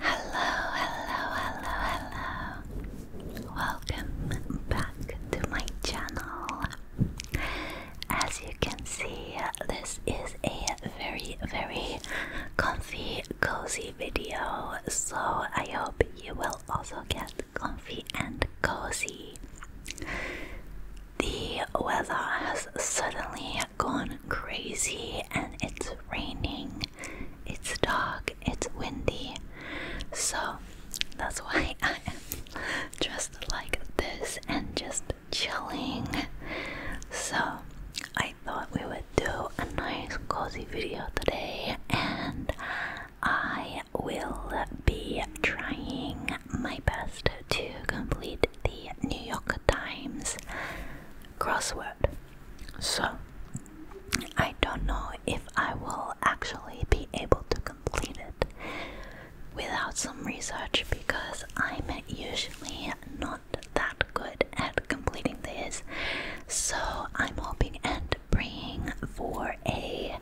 Hello, hello, hello, hello. Welcome back to my channel. As you can see, this is a very, very comfy, cozy video. So I hope you will also get comfy and cozy. The weather has suddenly gone crazy and it's raining, it's dark, it's windy. So that's why I am dressed like this and just chilling. So I thought we would do a nice cozy video today and I will be trying my best to complete the New York Times crossword. So, I don't know if I will actually be able to complete it without some research because I'm usually not that good at completing this. So, I'm hoping and praying for a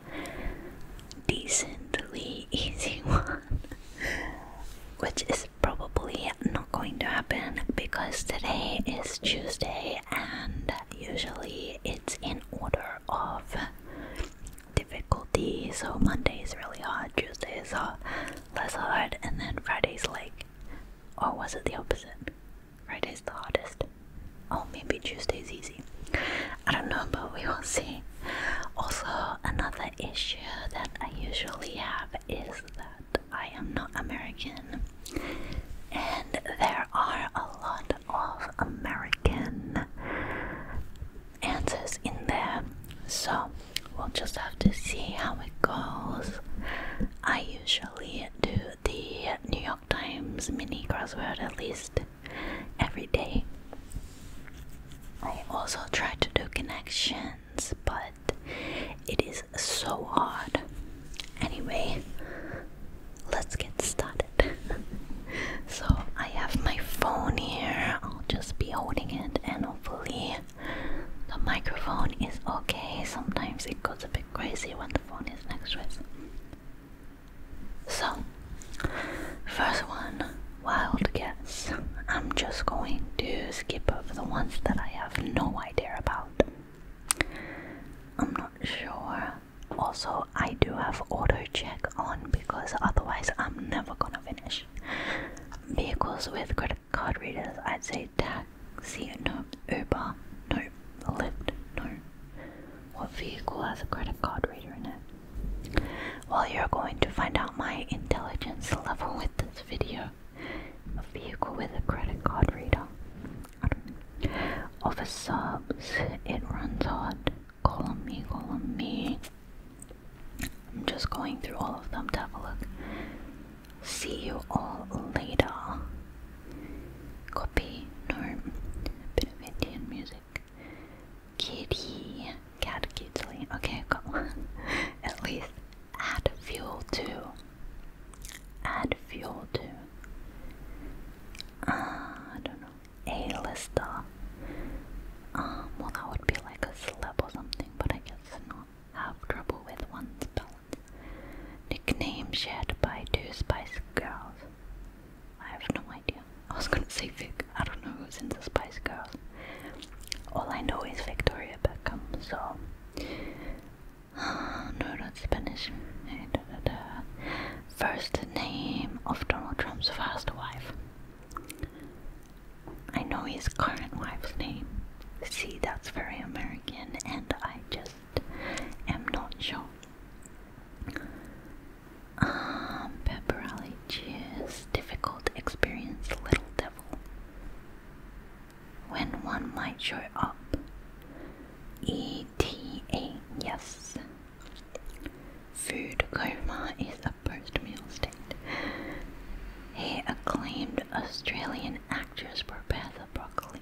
decently easy one, which is probably not going to happen because today is Tuesday and usually it's in order of difficulty. So Monday is really hard, Tuesday is less hard, and then Friday's like, or was it the opposite? Friday's the hardest. Oh, maybe Tuesday's easy. I don't know, but we will see. Also, another issue that I usually have is that I am not American, and there are a lot of American answers in there, so we'll just have to see how it goes. I usually do the New York Times mini crossword at least every day. I also try to do connections, but it is so odd. Anyway, let's get started. so, I have my phone here. I'll just be holding it and hopefully the microphone is okay. Sometimes it goes a bit crazy when the phone is next to it. So, first one, wild guess. I'm just going to skip over the ones that I have no idea about. I'm not sure. Also, I do have auto check on because otherwise I'm never gonna finish. Vehicles with credit card readers, I'd say taxi, no, Uber, no, Lyft, no. What vehicle has a credit card reader in it? Well, you're going to find out my intelligence level with this video. A vehicle with a credit card reader. I Offer subs. It runs hot. Call on me, call on me. I'm just going through all of them to have a look. See you all later. Copy. No. Bit of Indian music. Kitty. Cat, kitty. Okay, got one. At least add fuel to. Add fuel to. Uh, I don't know. a Um, well, that would be like a celeb or something, but I guess not have trouble with one's balance. Nickname shared by two Spice Girls. I have no idea. I was gonna say Vic. I don't know who's in the Spice Girls. All I know is Victoria Beckham, so no, not Spanish. Uh, first name of Donald Trump's first wife. I know his current wife's name. See, that's very American, and I just am not sure. Um, pepper allergies, difficult experience, little devil when one might show up. ETA, yes. Food coma is a post meal state. Hey, acclaimed Australian actress prepare the broccoli.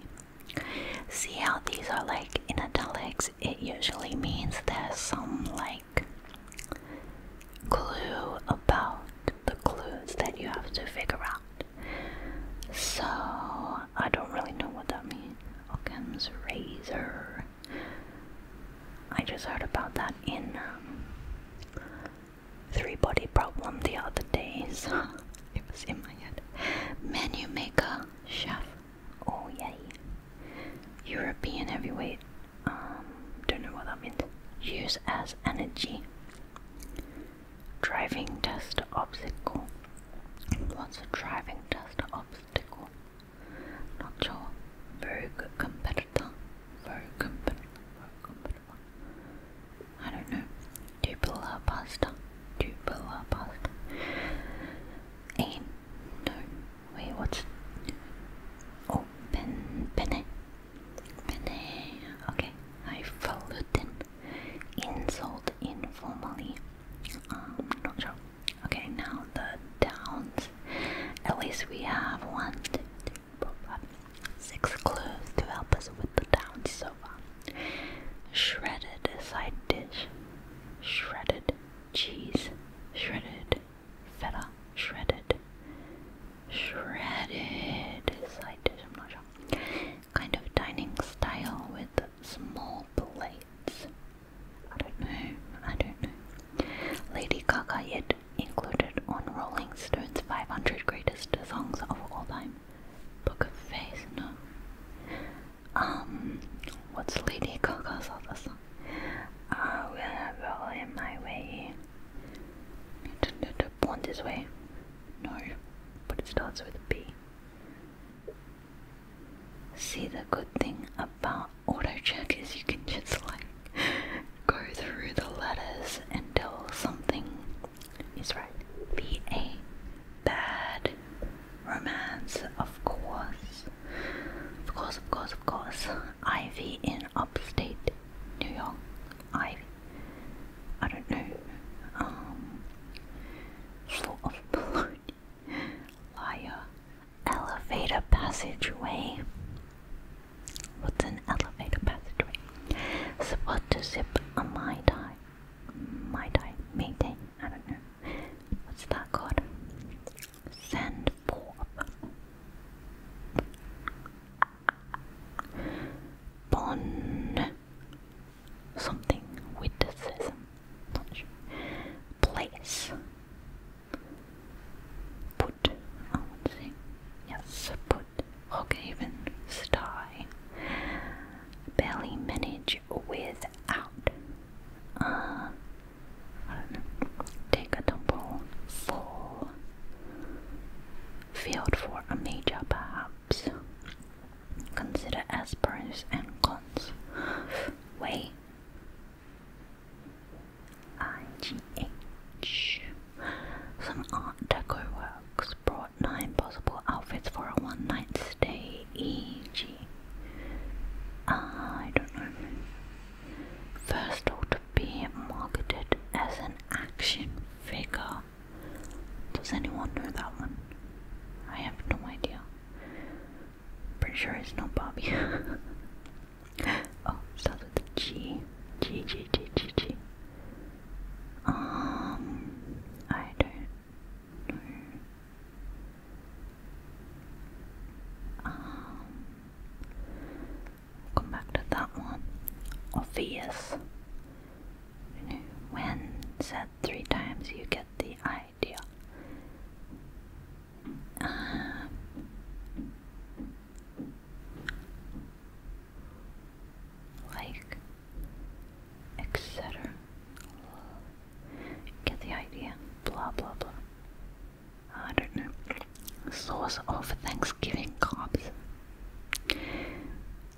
See how these are like in italics? It usually means there's some like clue about the clues that you have to figure out. So I don't really know what that means. Occam's razor. I just heard about that in um, Three Body Problem the other day, it was in my head. Menu maker, chef. Oh yay. European heavyweight. Um, don't know what that means. Use as energy. Driving test obstacle. What's a driving test obstacle? Not sure. Very good competitor. Very competitor. Very competitor. I don't know. Tubular pasta. Tubular pasta. And no. Wait, what's oh pen penne? Penne. Okay. I followed in insult informally. Um, not sure. Okay, now the downs. At least we have one, two, three, four, five, six clues to help us with the downs so far. Shredded side dish, shredded cheese, shredded feta, shredded, shredded side dish. I'm not sure kind of dining style with small plates. I don't know, I don't know. Lady Gaga yet included on Rolling Stone's 500 Greatest Songs of All Time. Book of Faith, no. Um, what's Lady Gaga's other song? I will roll in my way. you do Born this way? No, but it starts with a B. See, the good thing about auto check is you can just like go through the letters until something is right. B A bad romance, of course. Of course, of course, of course. Ivy in upstate New York. Ivy. I don't know, um, of balloon, liar, elevator passageway. What's an elevator passageway? Support to zip a my tie, my I don't know. What's that called? Send forth something witticism, Place. Put, I would say. Yes, put. Rockhaven, sty. Barely manage without. Uh, Take a tumble. Fall. Field for a major, perhaps. Consider as pros and cons. Way I G H. Some art deco works brought nine possible outfits for a one night stay, e.g. don't know. First ought to be marketed as an action figure does anyone know that one? I have no idea. Pretty sure it's not Bobby. oh, starts with a G. G, G, G, G, G. Um, I don't know. Um, come back to that one. Obvious when said three times, you get the idea. Um, like, etc. Get the idea. Blah blah blah. I don't know. Source of Thanksgiving carbs.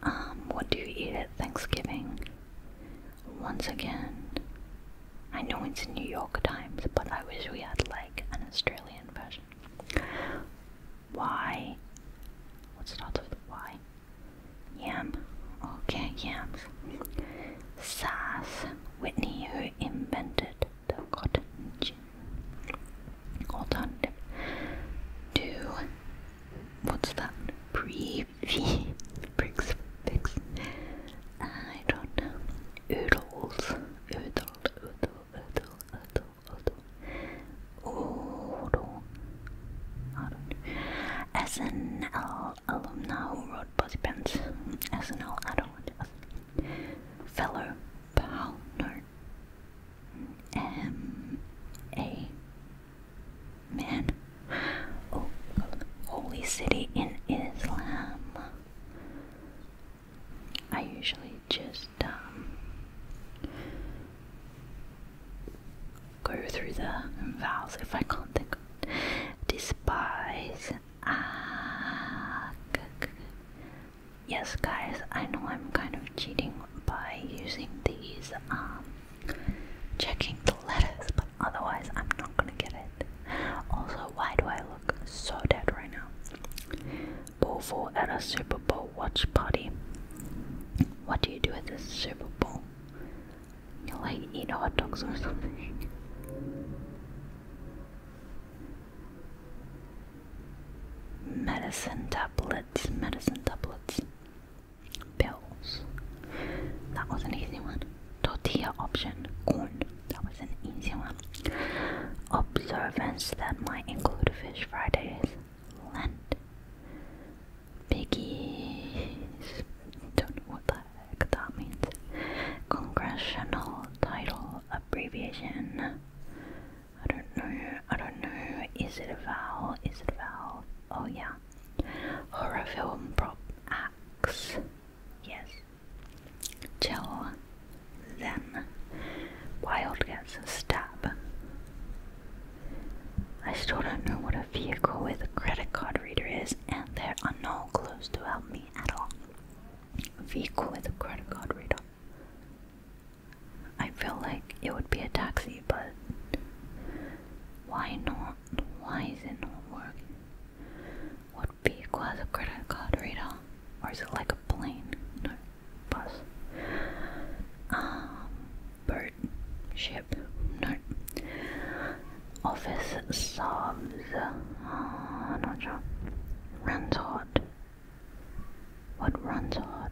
Um, what do you eat at Thanksgiving? Once again, I know it's New York Times, but I wish we had like an Australian version. Why? What starts with Y? Yam. Okay, yams. Sass Whitney, who invented the cotton gin. Alternative to what's that? Pre V brings fix. I don't know. Oodles. Oodle, oodle, oodle, oodle, oodle. Oodle. I don't know. SNL alumna who wrote Body Pants. SNL, I don't want to Fellow Pounder. M A Man. Oh, holy city in Islam. I usually just um, go through the vowels if I can't think of it. Despise. Ah, yes, guys, I know I'm kind of cheating by using these um, Checking the letters, but otherwise I'm not gonna get it. Also, why do I look so dead right now? Bowl at a Super Bowl watch party. What do you do at this Super Bowl? You like eat hot dogs or something? Medicine tablets, medicine tablets. Bills. That was an easy one. Tortilla option. Corn. That was an easy one. Observance that might include fish Fridays. Lent. Biggies. Don't know what the heck that means. Congressional title abbreviation. I don't know. I don't know. Is it a vowel? Is it a vowel? Oh yeah. Horror film prop axe. Yes. Till then. Wild gets a stab. I still don't know what a vehicle with a credit card reader is, and there are no clues to help me at all. A vehicle with a credit card reader. I feel like it would be a taxi, but why not? not? Why is it not working? What vehicle has a credit card reader? Or is it like a plane? No, bus. Um, bird, ship, no. Office subs, uh, not sure. Runs hot. What runs hot?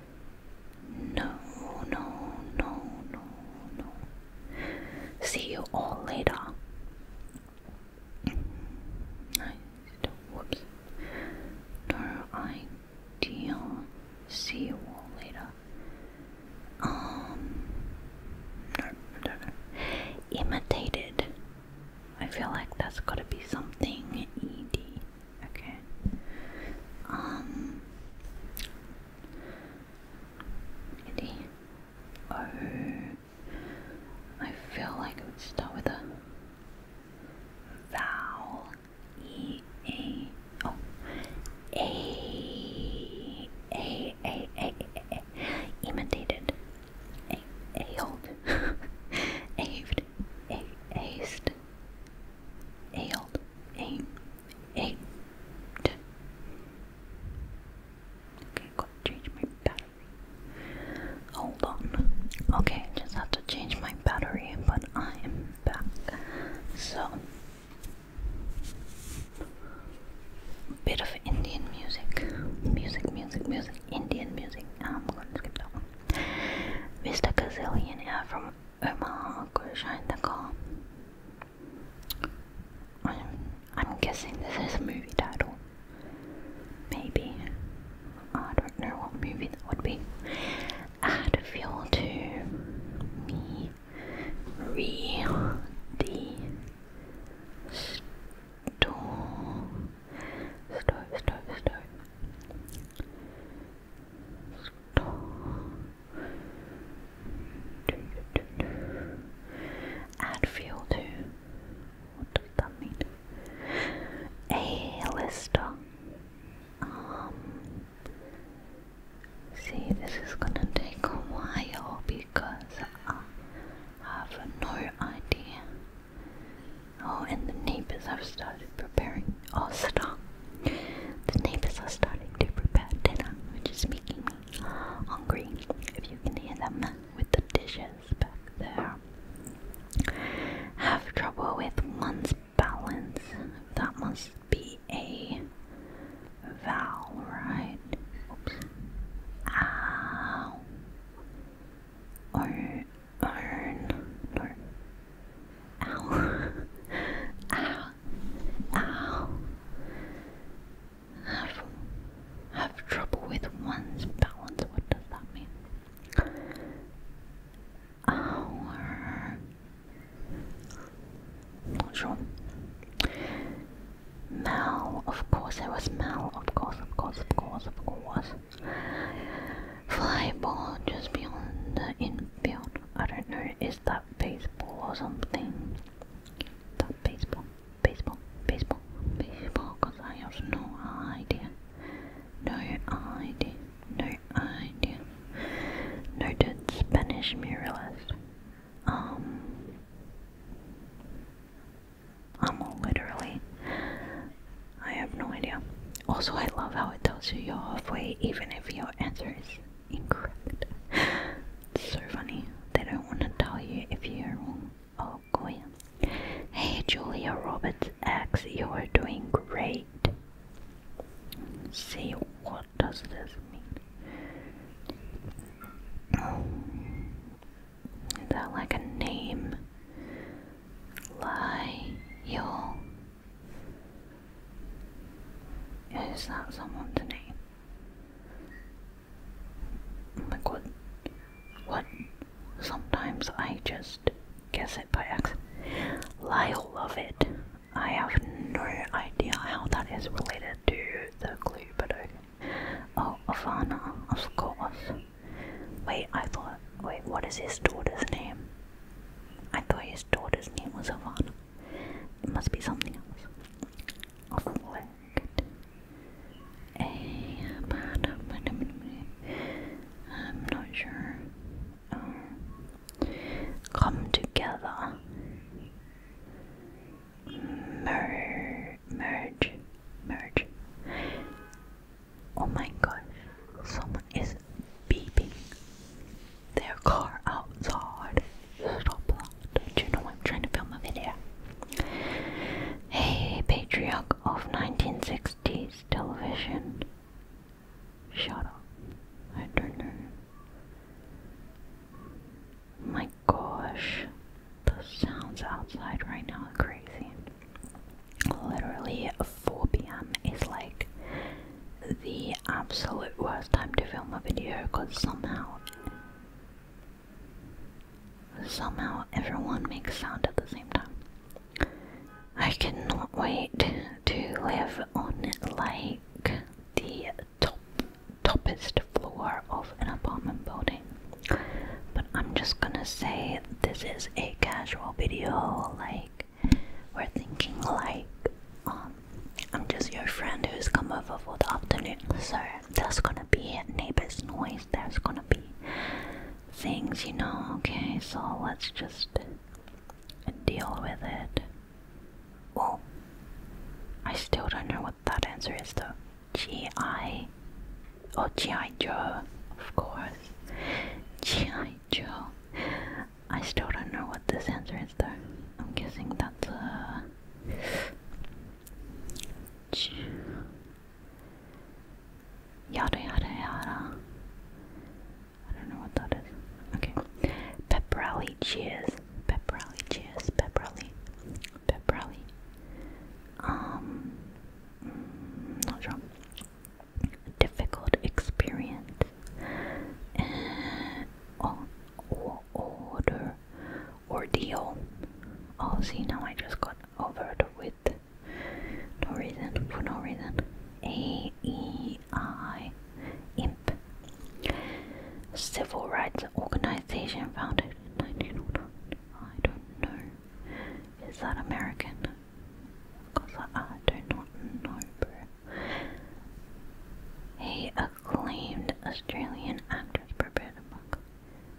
No, no, no, no, no. See you all later. Nice. Whoops. No idea. See you all later. Um. No, I don't know. Imitated. I feel like that's gotta be something ed. Okay. Um. Indy. Oh, I feel like it would start with a vowel. E A. Oh, A A A A A. Imitated. A A hold. Aved. A Aced. Ailed. Aim eight. Okay, got to change my battery. Hold on. Okay, just have to change my battery, but I am back. So, bit of Indian music, music, music, music, Indian music. Ah, I'm gonna skip that Mr. Gazillionaire from Omaha could shine I'm, I'm guessing this is a movie title. Maybe. I don't know what movie that would be. Add fuel to me. Re. The. Store. Stove, stove, stove. Add fuel to. What does that mean? A lister. Um. See, this is gonna take a while because I have no idea. Oh, and the neighbors have started preparing. Oh, stop. The neighbors are starting to prepare dinner, which is making me hungry. If you can hear them with the dishes back there. Have trouble with one's balance. That must be a vowel, right? Oops. Ow. Earn. Earn. No. Ow. Ow. Ow have have trouble with one's balance. What does that mean? Our not sure. Mal, of course, it was Mal, of course, of course, of course, of course. Fly ball just beyond the infield. I don't know. Is is that baseball or something? That baseball, baseball, baseball, baseball, because I have no idea. No idea, no idea. Noted Spanish muralist. Um, I'm literally, I have no idea. Also, I love how it tells you you're halfway, even if your answer is incorrect. so funny. They don't want to tell you if you're wrong. Oh, Hey, Julia Roberts X, you are doing great. See, what does this mean? Is that like a name? Lie, you. Is that someone's name? Oh my What? Sometimes I just guess it by accident. I love it. I have no idea how that is related to the clue, but okay. Oh, Ivana, of course. Wait, I thought. Wait, what is his daughter's name? I thought his daughter's name was Ivana. It must be something else. A bad. I'm not sure. Uh, come together. Mer merge. Merge. Oh my gosh. Someone is beeping their car outside. Stop Don't you know I'm trying to film a video? Hey, patriarch of 1960s television. Shut up. I don't know. My gosh. The sounds outside right now are crazy. Literally 4 p.m. is like the absolute worst time to film a video because somehow somehow everyone makes sound at the same time. I cannot wait to live on like the top toppest floor of an apartment building. But I'm just gonna say this is a casual video, like we're thinking like um I'm just your friend who's come over for the afternoon. So there's gonna be neighbor's noise, there's gonna be things, you know, okay, so let's just deal with it. Oh I still don't know what that answer is though. G.I. Oh G.I. Joe, of course. G.I. Joe. I still don't know what this answer is though. I'm guessing that's a Yada yada yada. I don't know what that is. Okay. Pep rally cheers. Pep rally cheers. Pep rally. Pep rally. Um, mm, not sure. Difficult experience. Eh, oh, oh order ordeal. Oh, see, now I just got over with no reason, for no reason. A E I IMP Civil Rights Organization founded in 1909. I don't know. Is that American? Because I, I do not know. a acclaimed Australian actress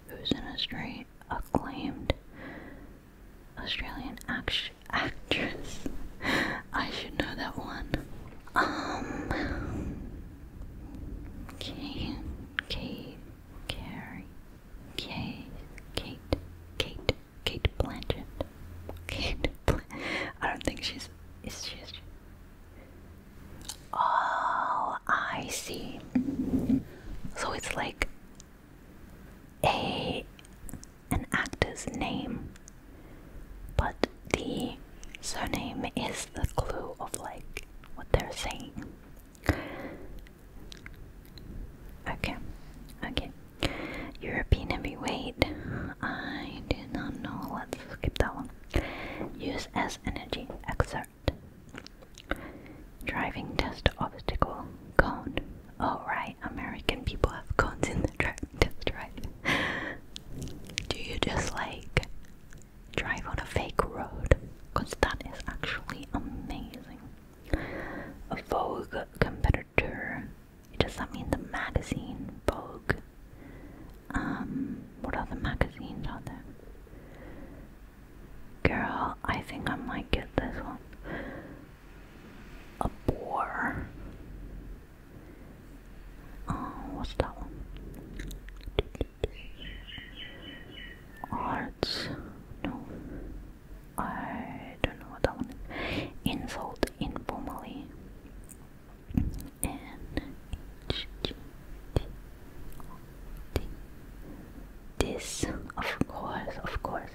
who's an Austra acclaimed Australian act actress. I should know that one. Um, Kay, Kay, Carrie, Kay, Kate, Kate, Kate Blanchett. Kate Blanchett. I don't think she's. Is she? Oh, I see. So it's like a an actor's name, but the surname is the clue of like what they're saying. Okay, okay. European heavyweight. I do not know. Let's skip that one. Use as energy exert. Driving test obstacle cone. Oh, right, American people have cones in the driving test, right? Do you just like drive on a fake road? Because that is actually amazing. A Vogue competitor. Does that mean the magazine Vogue um, what other magazines are there? Girl, I think I might get this one. A boar. Oh, what's that one? Arts. No. I don't know what that one is. Insult informally. N H G T O T. This, of course, of course,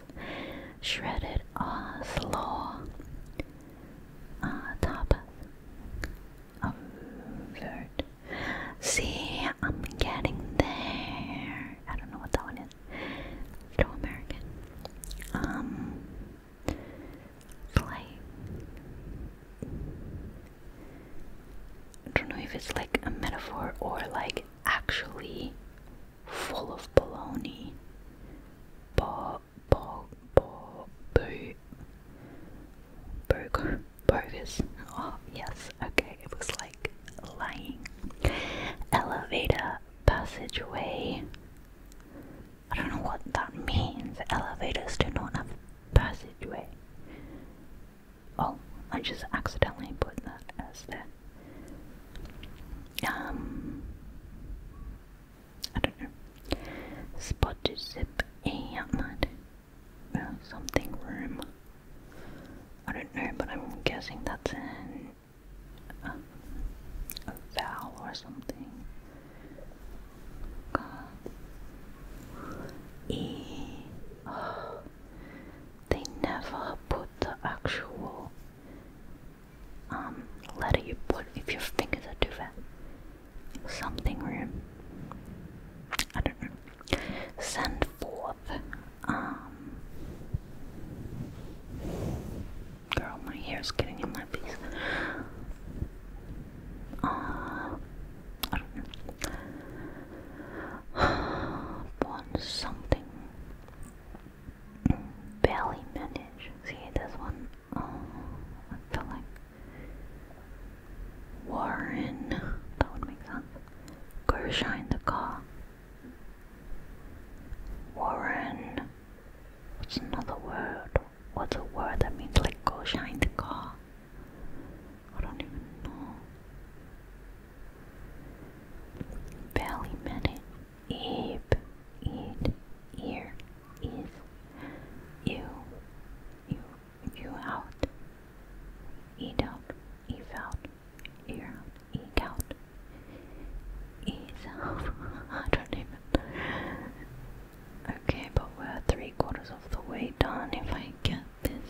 shredded Oslo uh, top of third. See, I'm getting there. I don't know what that one is. Afro American. Um, play. I don't know if it's like a metaphor or like actually full of baloney. Bo, bo, bo, boo. Burger, bogus. Oh, yes, okay, it was like lying. Elevator, passageway. I don't know what that means. Elevators do not have passageway. Oh, I just accidentally put that as there. Um, I don't know. Spotted zip outlet. Uh, something room. I don't know, but I'm guessing that's uh, a vowel or something. 五 E. they never put the actual um, letter you put if your fingers are too fat. Something room. I don't know. Send forth. Um. Girl, my hair's getting in my face. Uh, I something. Barely manage. See this one? Oh, I feel like Warren. That would make sense. Gershine in the car. Warren. What's another word? What's a word that means like go shine the car? I don't even know. Barely minute. Eep. Eat. Ear. You. You. You out. Eat out. Eve out. Ear out. out. Ease I don't even. Okay, but we're three quarters of the way done if I get this.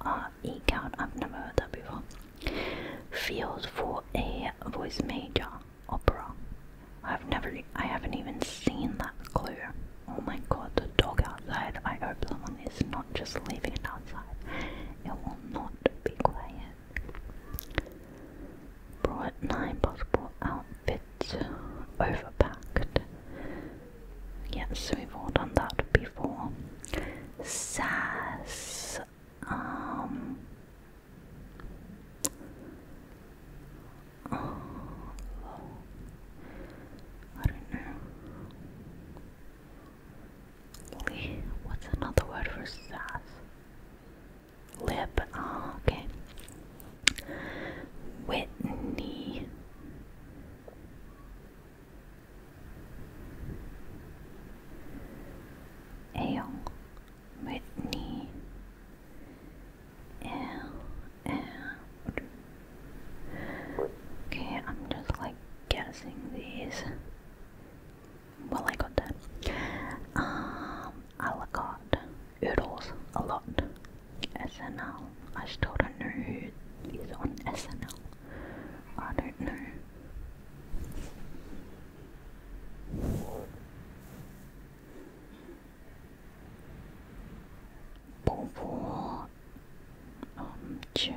Ah, E count, I've never heard before. Feels for a voice major opera. I've never, I haven't even seen that clue. Oh my god, the dog outside. I hope someone is not just leaving it outside. It will not be quiet. Brought nine possible outfits, overpacked. Yes, we've all done that before. Sass. Um. Oh, I don't know. What's another word for sass? Lip. Oh, okay. Whitney. Ale. Whitney. L. Okay, I'm just like guessing these well I got that. Um, I got Oodles a lot. SNL. I still don't know who is on SNL. I don't know. Bobo, um, chip,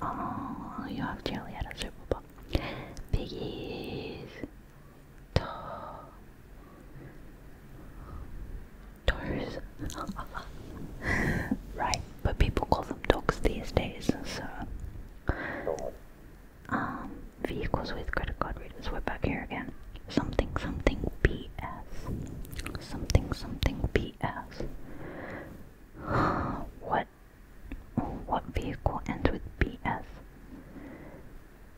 Oh, you have jelly at a super bowl. Piggies doors. right, but people call them dogs these days, so. Um, vehicles with credit card readers. We're back here again. Something, something BS. Something, something BS. what what vehicle ends with BS?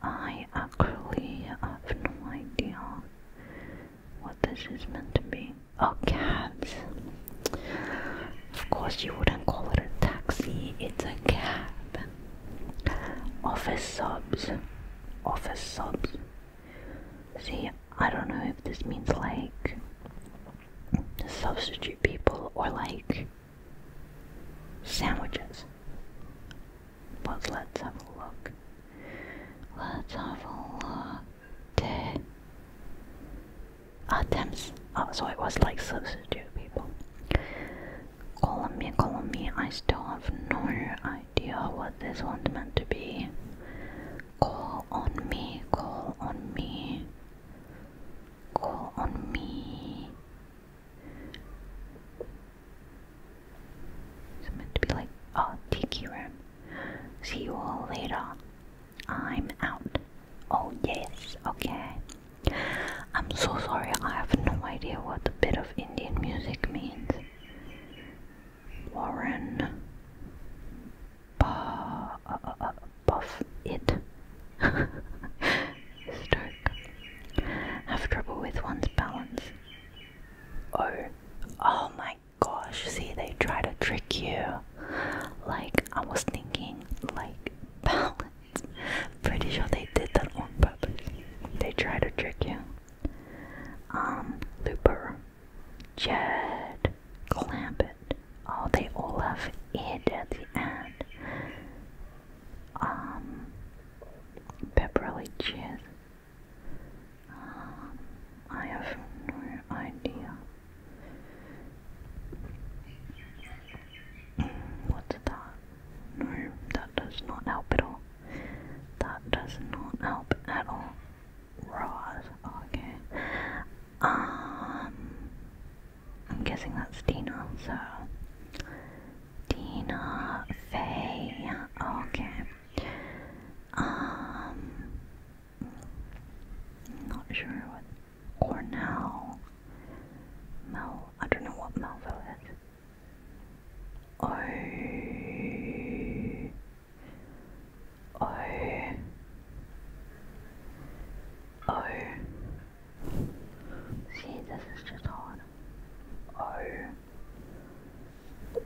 I actually have no idea what this is meant to be. Oh, cabs. Of course, you wouldn't call it a taxi, it's a cab. Office subs. Office subs. See, I don't know if this means like substitute people or like Sandwiches. But let's have a look. Let's have a look. Attempts. Oh, so it was like substitute people. Column me, column me. I still have no idea what this one's meant to be. Call on me, call on me. Call on me. It's meant to be like, oh, Tiki Room. See you all later. I'm out. Oh, yes, okay. I'm so sorry, I have no idea what the bit of Indian music means. Warren. Ba uh, uh, uh, buff it. Stroke. Have trouble with one's balance. Oh, oh my gosh, see, they try to trick you. Like, I was thinking, like, balance. Pretty sure they did that on purpose. They try to trick you. Um, Looper, Jed, Clampett. Oh, they all have it at the end um, Beverly um, I have no idea. Mm, what's that? No, that does not help at all. That does not help at all. Right, okay. Um, I'm guessing that's Dina, so Dina Faye. Okay. Um not sure what Cornell Mel I don't know what Melville is. Oh Oh, oh. See, this is just hard. Oh.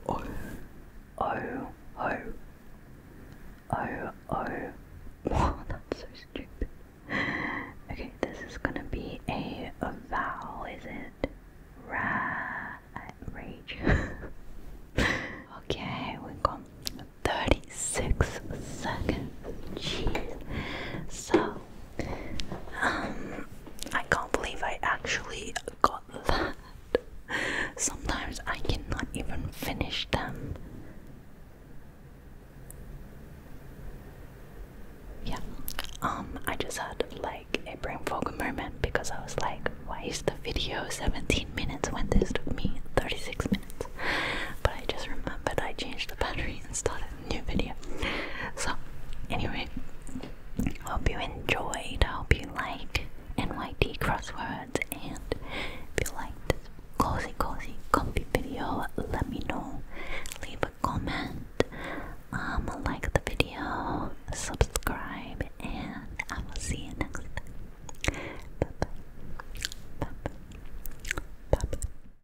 Oh. Oh. Oh. Oh. Oh. Wow, that's so stupid. Okay, this is gonna be a, a vowel, is it? Ra rage. okay, we got 36 seconds. Jeez. So um, I can't believe I actually got that. Sometimes I cannot even finish them. Yeah, um, I just had like a brain fog moment because I was like, why is the video 17 minutes when this took me 36 minutes? But I just remembered I changed the battery and started new video. So, anyway, hope you enjoyed. Hope you like NYT crosswords and if you like this cozy, cozy, comfy video, let me know. Leave a comment, um, like the video, subscribe, and I will see you next time. Bye bye. Bye bye. Bye bye.